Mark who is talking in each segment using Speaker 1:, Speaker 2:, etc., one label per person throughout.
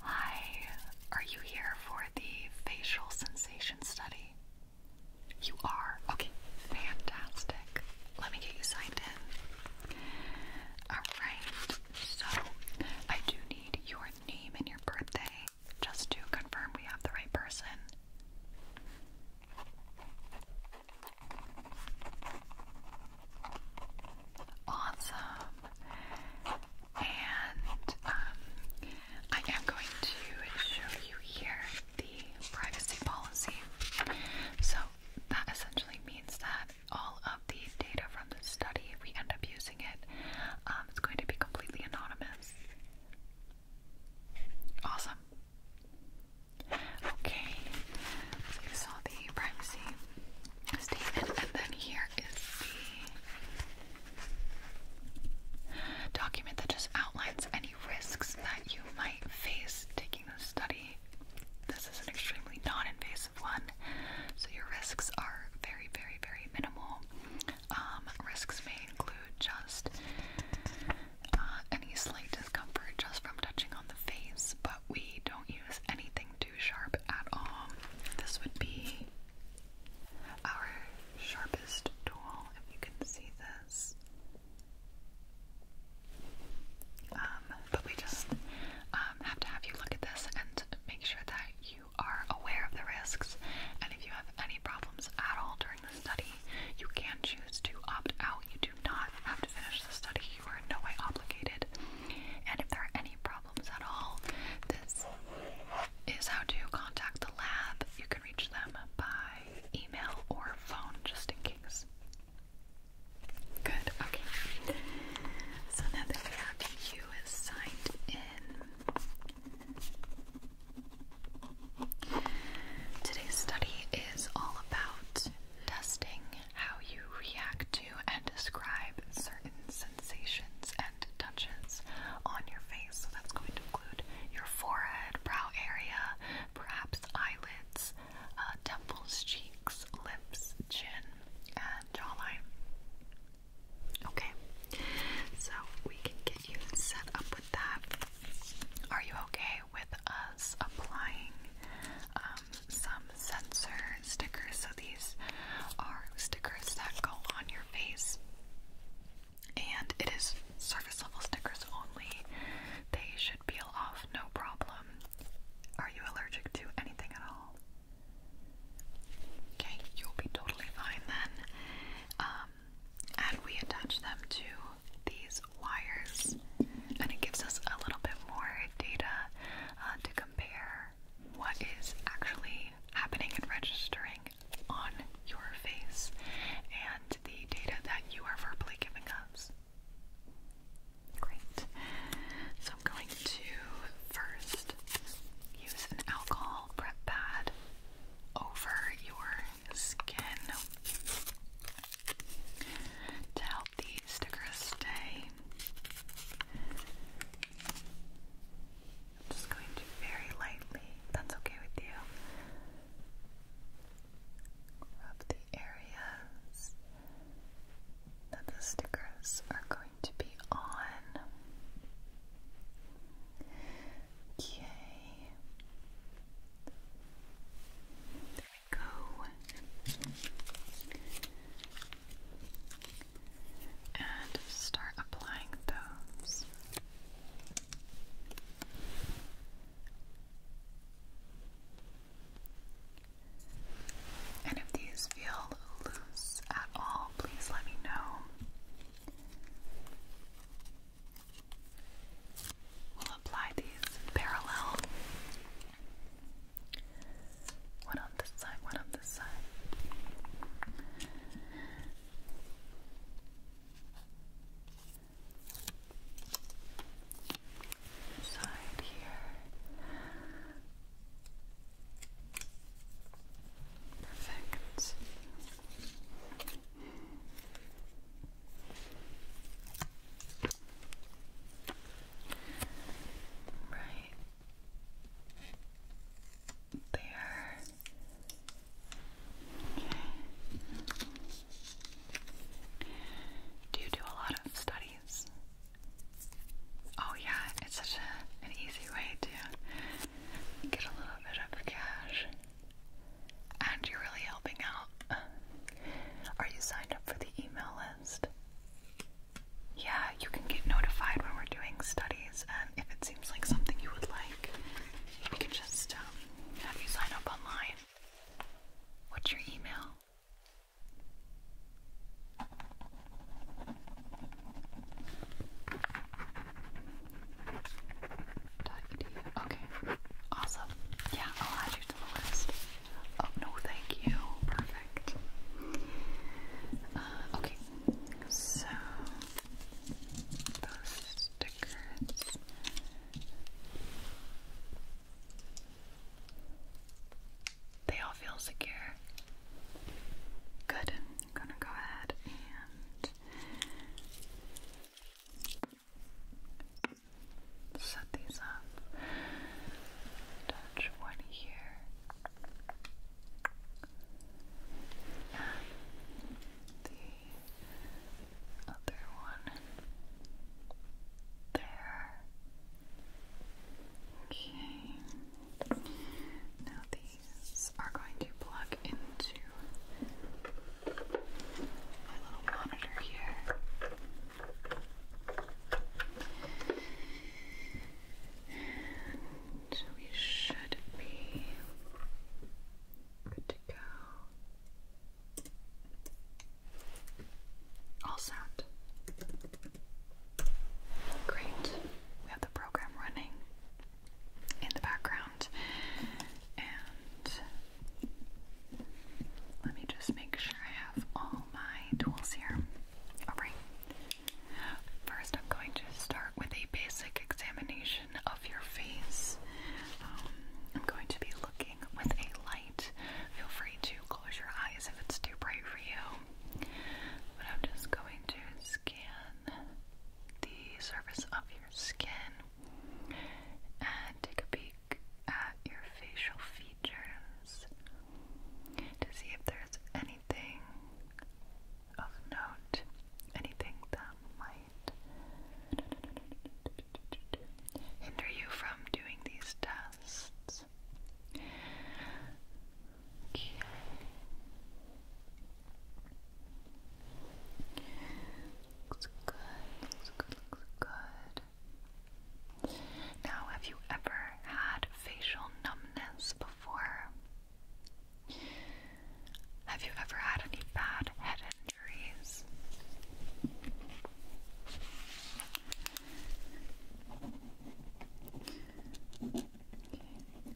Speaker 1: Hi, are you here for the facial sensation study? You are? Okay, fantastic. Let me get you signed in. Alright, so I do need your name and your birthday just to confirm we have the right person awesome. And um, I am going to show you here the privacy policy. So that essentially means that all of the data from the study, if we end up using it, um, it's going to be completely anonymous. Awesome. Okay, so saw the privacy and then here is the document that just outlines any risks that you might face taking this study. This is an extremely non invasive one, so your risks are very, very, very minimal. Um, risks may include just uh, any slight discomfort just from touching on the face, but we don't use anything to sharp at all. This would be our sharpest tool, if you can see this. Um, but we just um, have to have you look at this and make sure that you are aware of the risks. And if you have any problems at all during the study, you can choose to opt out. You do not have to finish the study, you are in no way obligated. And if there are any problems, problems at all, this is how to contact the lab. You can reach them by email or phone, just in case. Good, okay. So now that we have you is signed in. Today's study is all about testing how you react to and describe certain sensations and touches on your face. So that's going to include your forehead, brow area, perhaps eyelids, uh, temples, cheeks, lips, chin, and jawline. Okay, so we can get you set up with that. Are you okay with us applying um, some sensor stickers. So these are stickers that go on your face, and it is surface level stickers only. They should peel off no problem. Are you allergic to anything at all? Okay, you'll be totally fine then. Um, and we attach them to these wires, and it gives us a little bit more data uh, to compare what is actually happening and registering on your face and the data that you are verbally giving us. Great. So I'm going to first use an alcohol prep pad over your skin to help the stickers stay I'm just going to very lightly, that's okay with you, rub the areas that the stickers are going to be on. Okay. There we go and start applying those. And if these feel loose at all, please let me know. We'll apply these parallel. What on this side? What on this side? Side here. Perfect. Right. There. Do you do a lot of studies? Oh, yeah, it's such a, an easy way to get a little bit of cash. And you're really helping out. Are you signed up for the email list? Yeah, you can get notified when we're doing studies, and if it seems like something you would like, we can just um, have you sign up online. What's your email? Okay, awesome. Yeah, I'll add you to the list. Oh, no, thank you. Perfect. Uh, okay, so, those stickers. They all feel secure. Good. I'm gonna go ahead and set these up. Touch one here and the other one there. Okay. Now these are going to plug into my little monitor here. And we should be good to go. All set. Great. We have the program running in the background. And let me just make sure I have all my tools here. Alright. First, I'm going to start with a basic examination of your face. Um, I'm going to be looking with a light. Feel free to close your eyes if it's too bright for you. But I'm just going to scan the surface of your skin and take a peek at your facial features to see if there's any anything of note, anything that might hinder you from doing these tests. Looks good, looks good, looks good. Now, have you ever had facial numbness before? Have you ever had any bad head injuries?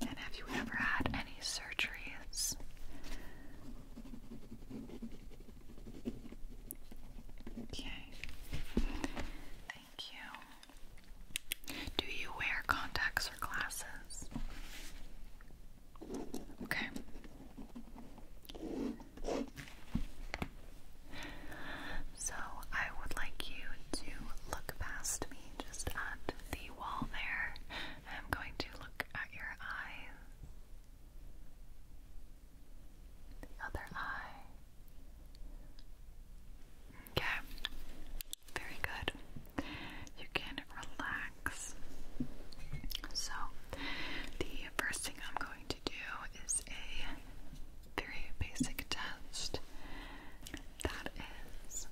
Speaker 1: And have you ever had any surgeries? Okay. Thank you. Do you wear contacts or glasses? Okay. So I would like you to look past me just at the wall there. I'm going to look at your eyes, other eye. Okay, very good. You can relax. So, the first thing I'm going to do is a very basic test that is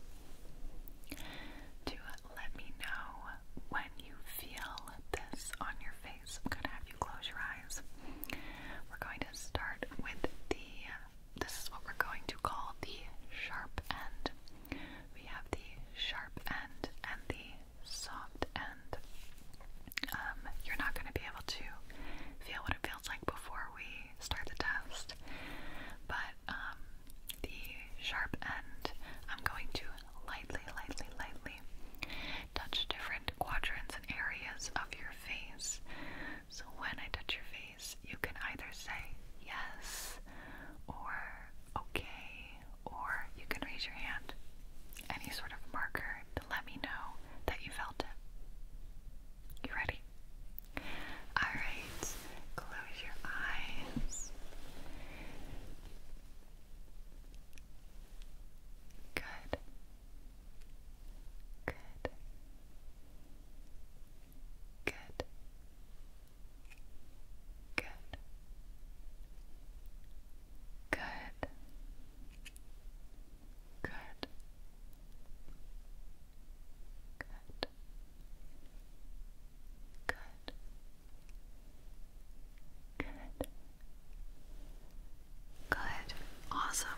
Speaker 1: to let me know when you feel this on your face. I'm going to have you close your eyes. We're going to start with the this is what we're going to call the sharp end. We have the sharp end and the soft end. Um, you're not going to be able to feel what it feels like before we start the test, but um, the sharp end, I'm going to lightly, lightly, lightly touch different quadrants and areas of your face. So when I touch your face, you can either say yes or okay, or you can raise your hand, any sort of marker to let me know that you felt it. You ready? Alright, close your eyes. Good. Good. Good. Good. Good. Good. Good. Good. Good. Awesome.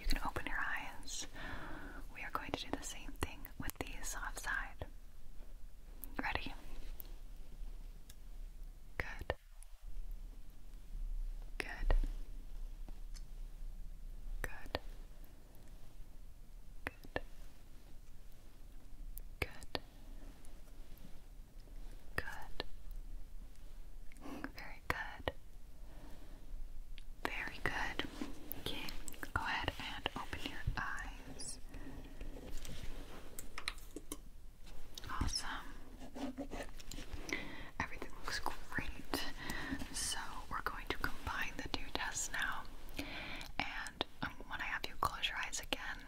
Speaker 1: You can open your eyes. We are going to do the same thing with these soft side. Ready? Good. Good. Good. Good. Good. Good. Very good. Very good. Okay, go ahead and open your eyes. Awesome. Everything looks great. So, we're going to combine the two tests now. And um, when I have you close your eyes again,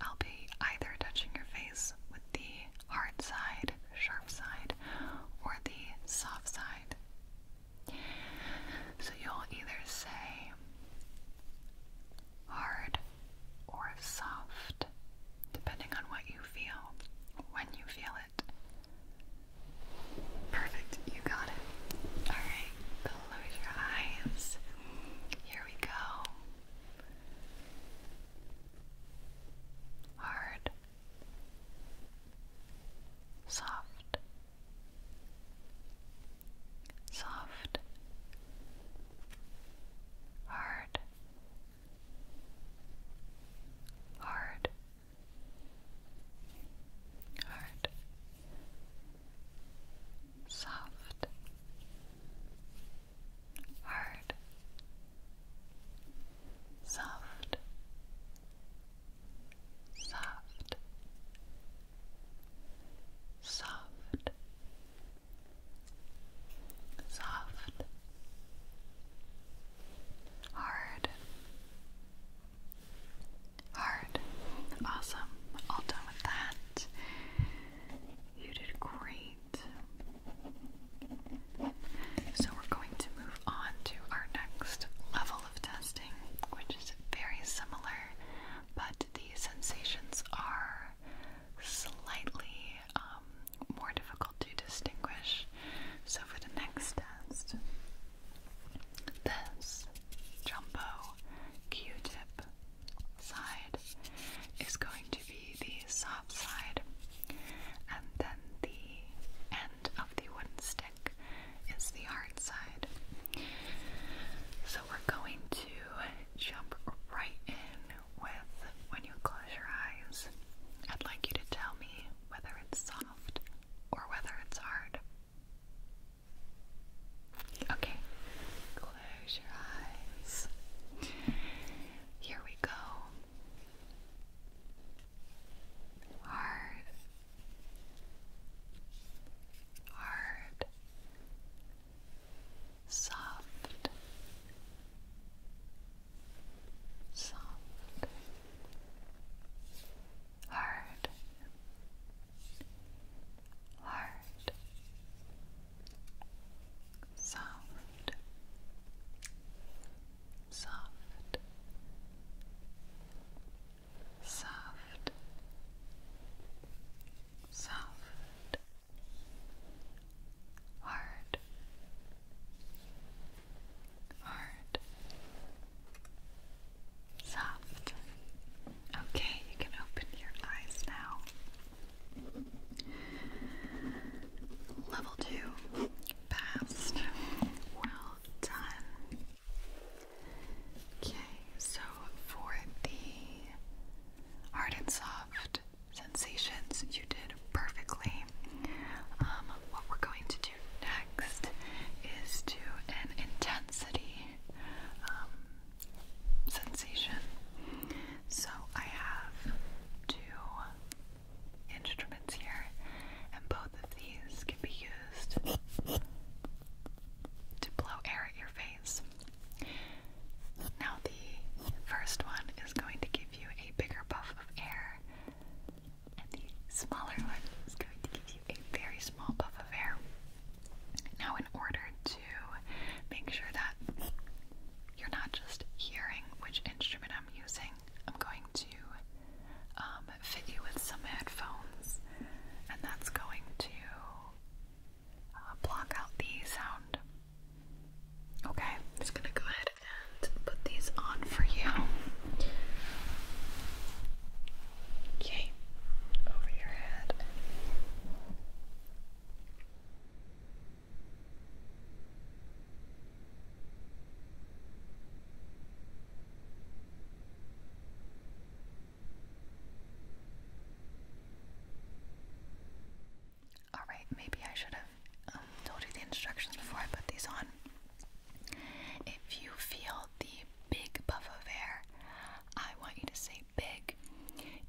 Speaker 1: I'll be either touching your face with the hard side, sharp side, or the soft side, so you'll either say hard or soft, depending on what you feel when you feel it. Perfect, you got it. Alright, close your eyes. Here we go. Hard soft, soft, hard, hard, hard, soft, hard. Soft, soft, soft, soft, hard, hard. Awesome. All done with that. You did great. So we're going to move on to our next level testing, which is very similar, but the sensations are slightly um, more difficult to distinguish. So, for the next test, this jumbo Q tip side is going to be the soft side, and then the of the wooden stick is the hard side. So we're going to jump right in with when you close your eyes. I'd like you to tell me whether it's soft or whether it's hard. Okay, close your eyes. Here we go hard, hard, soft, soft, hard, hard, soft soft, soft, soft, hard, hard, soft. Okay, you can open your eyes now. Level two, past. Well, Okay, so for the hard and soft sensations, you did perfectly. Um, what we're going to do next is do an intensity um, sensation. So I have two instruments here, and both of these can be used to blow air at your face. Now, the first one is going to give you a bigger puff of air, and the smaller one is going to give you a very small puff of air. Now, in order to make sure that you're not just hearing which instrument I'm using, I'm going to um, fit you with some headphones, and that's going to uh, block out the sound. Okay, I'm just gonna go ahead and put these on for you. Okay, over your head. Alright, maybe I should have um, told you the instructions before I put these on. If you feel the big puff of air, I want you to say big.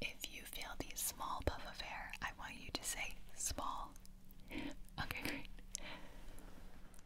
Speaker 1: If you feel the small puff of air, I want you to say small. okay, great.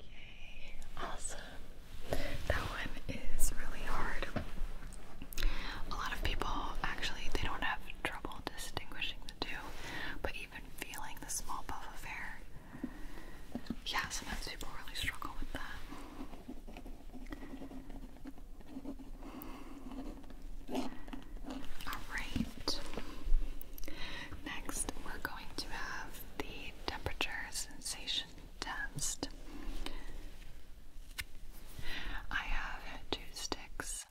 Speaker 1: Okay, awesome. That one is really hard. A lot of people actually they don't have trouble distinguishing the two, but even feeling the small puff of hair. Yeah, sometimes people really struggle with that. Alright. Next, we're going to have the temperature sensation test. I have two sticks.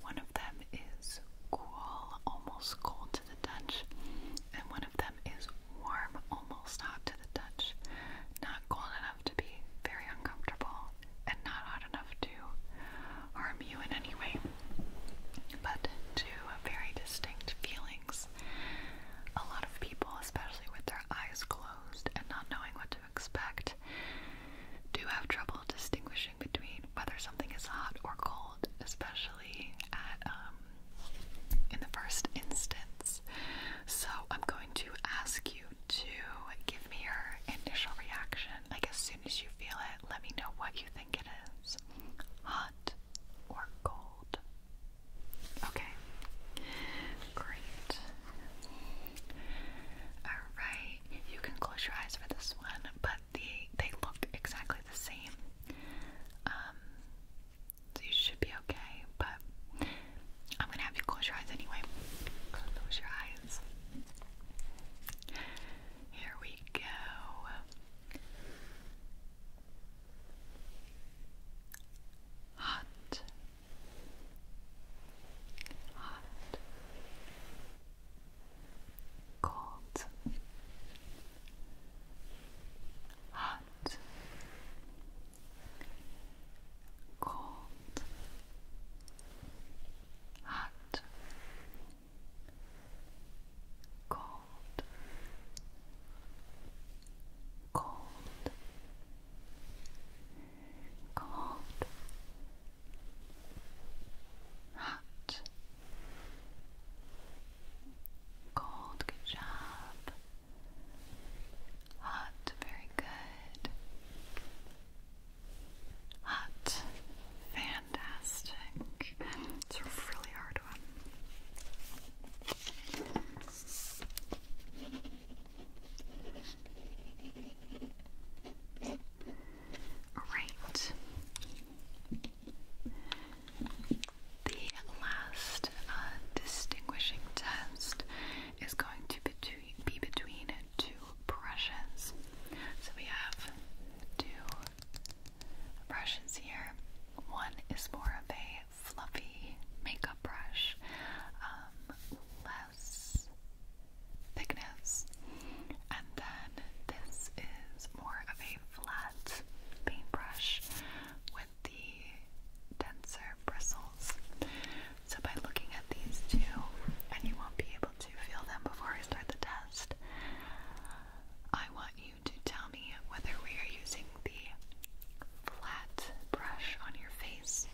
Speaker 1: One of them is cool, almost cold to the touch, and one of them is warm, almost hot to the touch. Not cold enough to be very uncomfortable, and not hot enough to harm you in any way, but to very distinct feelings. A lot of people, especially with their eyes closed and not knowing what to expect, do have trouble distinguishing between whether something is hot or cold, especially at um, in the first instance. So I'm going to ask you to give me your initial reaction. Like as soon as you feel it, let me know what you think think it is hot or cold. Okay, great. Alright, you can close your eyes for this one, but the, they look exactly the same. Um, so you should be okay, but I'm gonna have you close your eyes anyway. Close your eyes. Here we go hot, hot, cold, hot, cold, hot, cold, cold, cold, hot, cold, good job, hot, very good. Hot. Fantastic. It's a really hard one. Right. The last uh, distinguishing test is going to be between two brushes. So we have two brushes here. One is more of a fluffy makeup brush, um, less thickness, and then this is more of a flat paintbrush with the denser bristles. So, by looking at these two, and you won't be able to feel them before I start the test, I want you to tell me whether we are using the flat brush on your face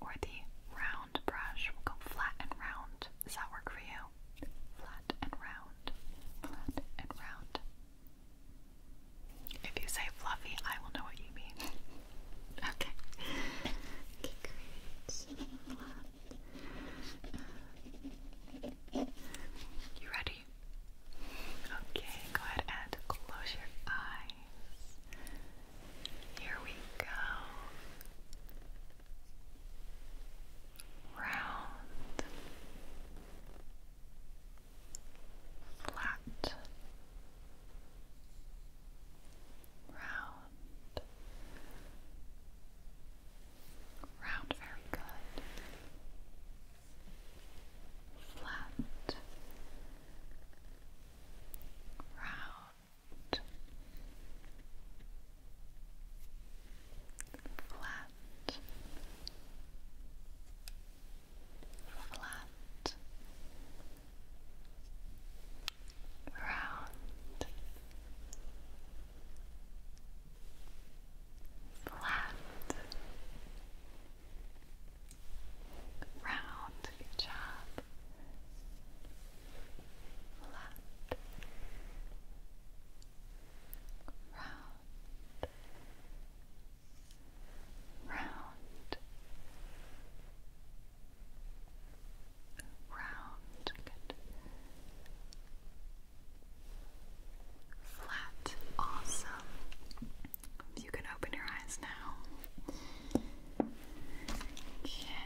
Speaker 1: or the round brush. We'll go flat and round. Does that work for you? Flat and round. Flat and round. If you say fluffy, I will know what you mean. okay. You ready? Okay, go ahead and close your eyes. Here we go. Round, flat, round, Round, very good. Flat. Round. Flat. Flat. Round flat, round, good flat, round, round, round, good. Flat. Awesome. You can open your eyes now. Okay.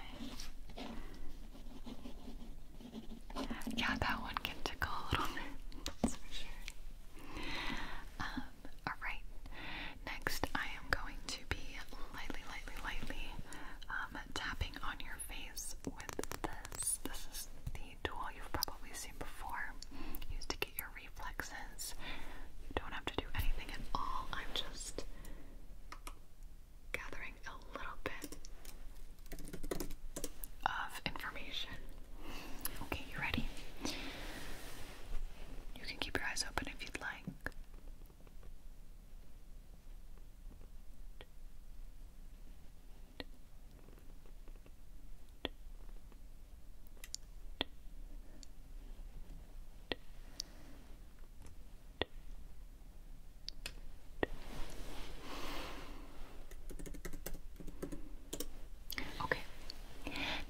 Speaker 1: Yeah, that one can tickle a little bit, that's for sure. Um, alright, next I am going to be lightly, lightly, lightly um, tapping on your face with this. This is tool you've probably seen before, used to get your reflexes. You don't have to do anything at all. I'm just gathering a little bit of information. Okay, you ready? You can keep your eyes open if you'd like. Okay,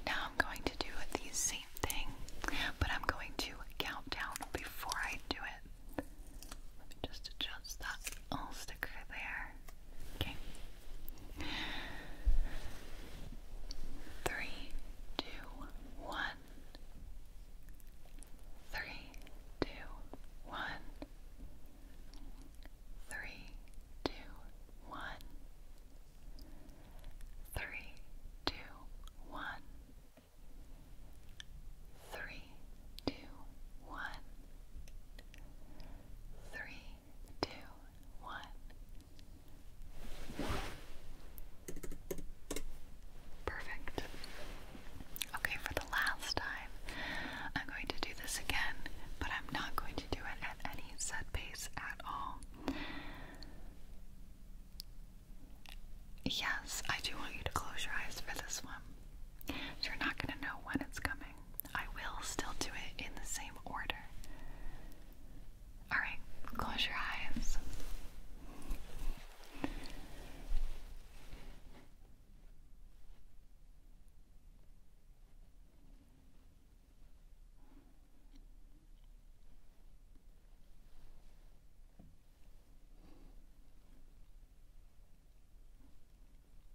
Speaker 1: now I'm going to do the same thing, but I'm going to count down before I do it. Let me just adjust that little sticker there. Okay. Three, two, one. Three, two, one. Three, two, one. Three, two, one. Three, three, two, one. Three, two, one. Perfect. Okay, for the last time, I'm going to do this again, but I'm not going to do it at any set pace at all. Yes, I do want you to close your eyes for this one. you're not going to know when it's coming. I will still do it in the same order. Alright, close your eyes.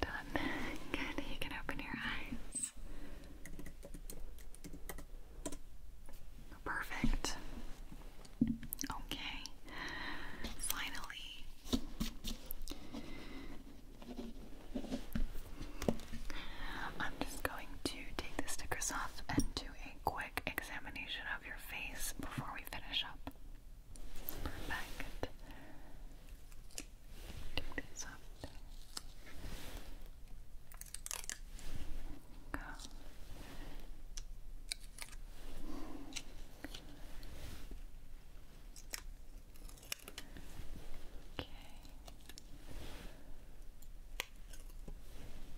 Speaker 1: Done. Good. You can open your eyes. Perfect. Okay, finally. I'm just going to take the stickers off and do a quick examination of your face before we finish up. Perfect. Take this off. Go. Okay.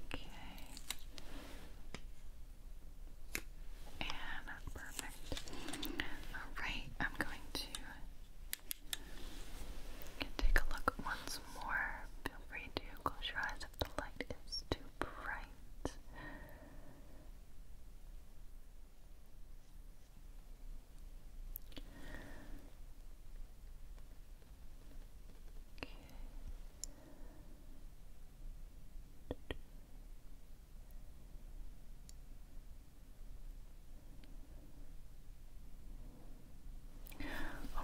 Speaker 1: Okay. And perfect. Alright, I'm going to take a look once more. Feel free to close your eyes if the light is too bright.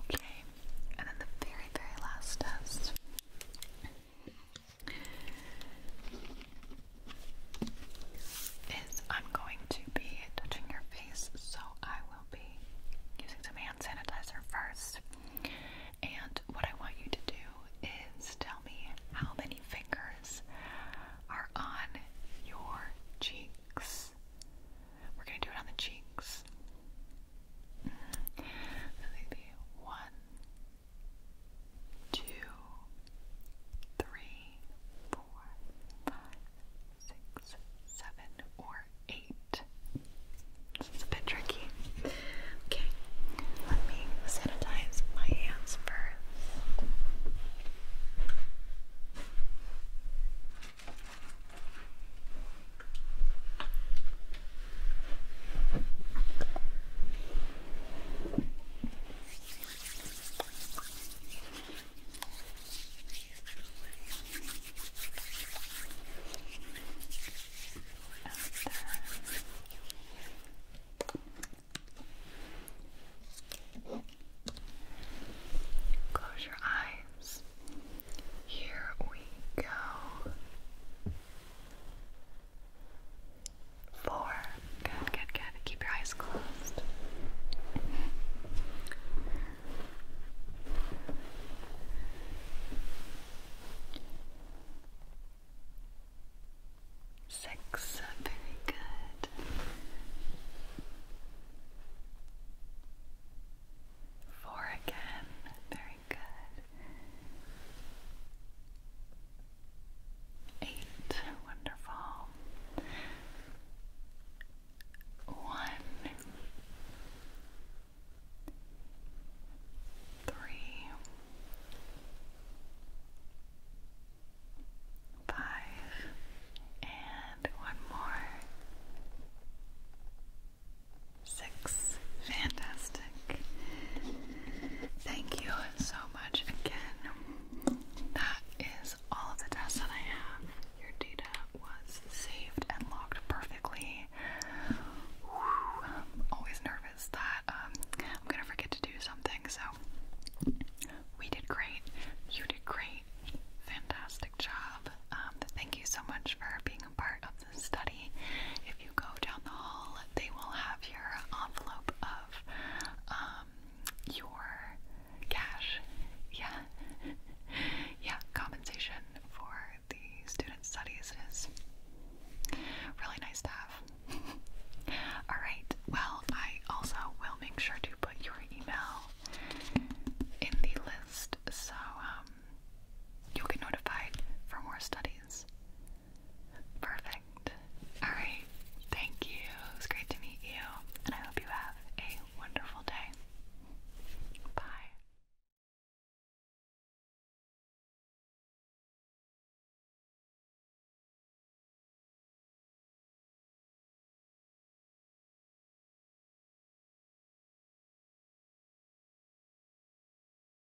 Speaker 1: Okay, and then the very, very last test is I'm going to be touching your face, so I will be using some hand sanitizer first. And what I want you to do is tell me how many fingers are on your cheeks. We're going to do it on the cheeks. Mm-hmm. So they one, two, three, four, five, six, seven, or eight. This a bit tricky. Okay, let me sanitize my hands first. Close your eyes. Here we go. Four. Good, good, good. Keep your eyes closed. Six. Very good. Four again. Very very good. Eight, wonderful. One, three, five, and one more. Six. Fantastic. Thank you so much again. That is all of the tests that I have. Your data was saved and logged perfectly. always nervous that um, I'm gonna forget to do something, so we did great. You did great. Fantastic job. Um, thank you so much for being a part of study, if you go down the hall, they will have your envelope of um, your cash. Yeah, yeah, compensation for the student studies is really nice to have. All right. Well, I also will make sure to put your email in the list so um, you'll get notified for more studies. Perfect. Alright, thank you. It was great to meet you, and I hope you have a wonderful day. Bye.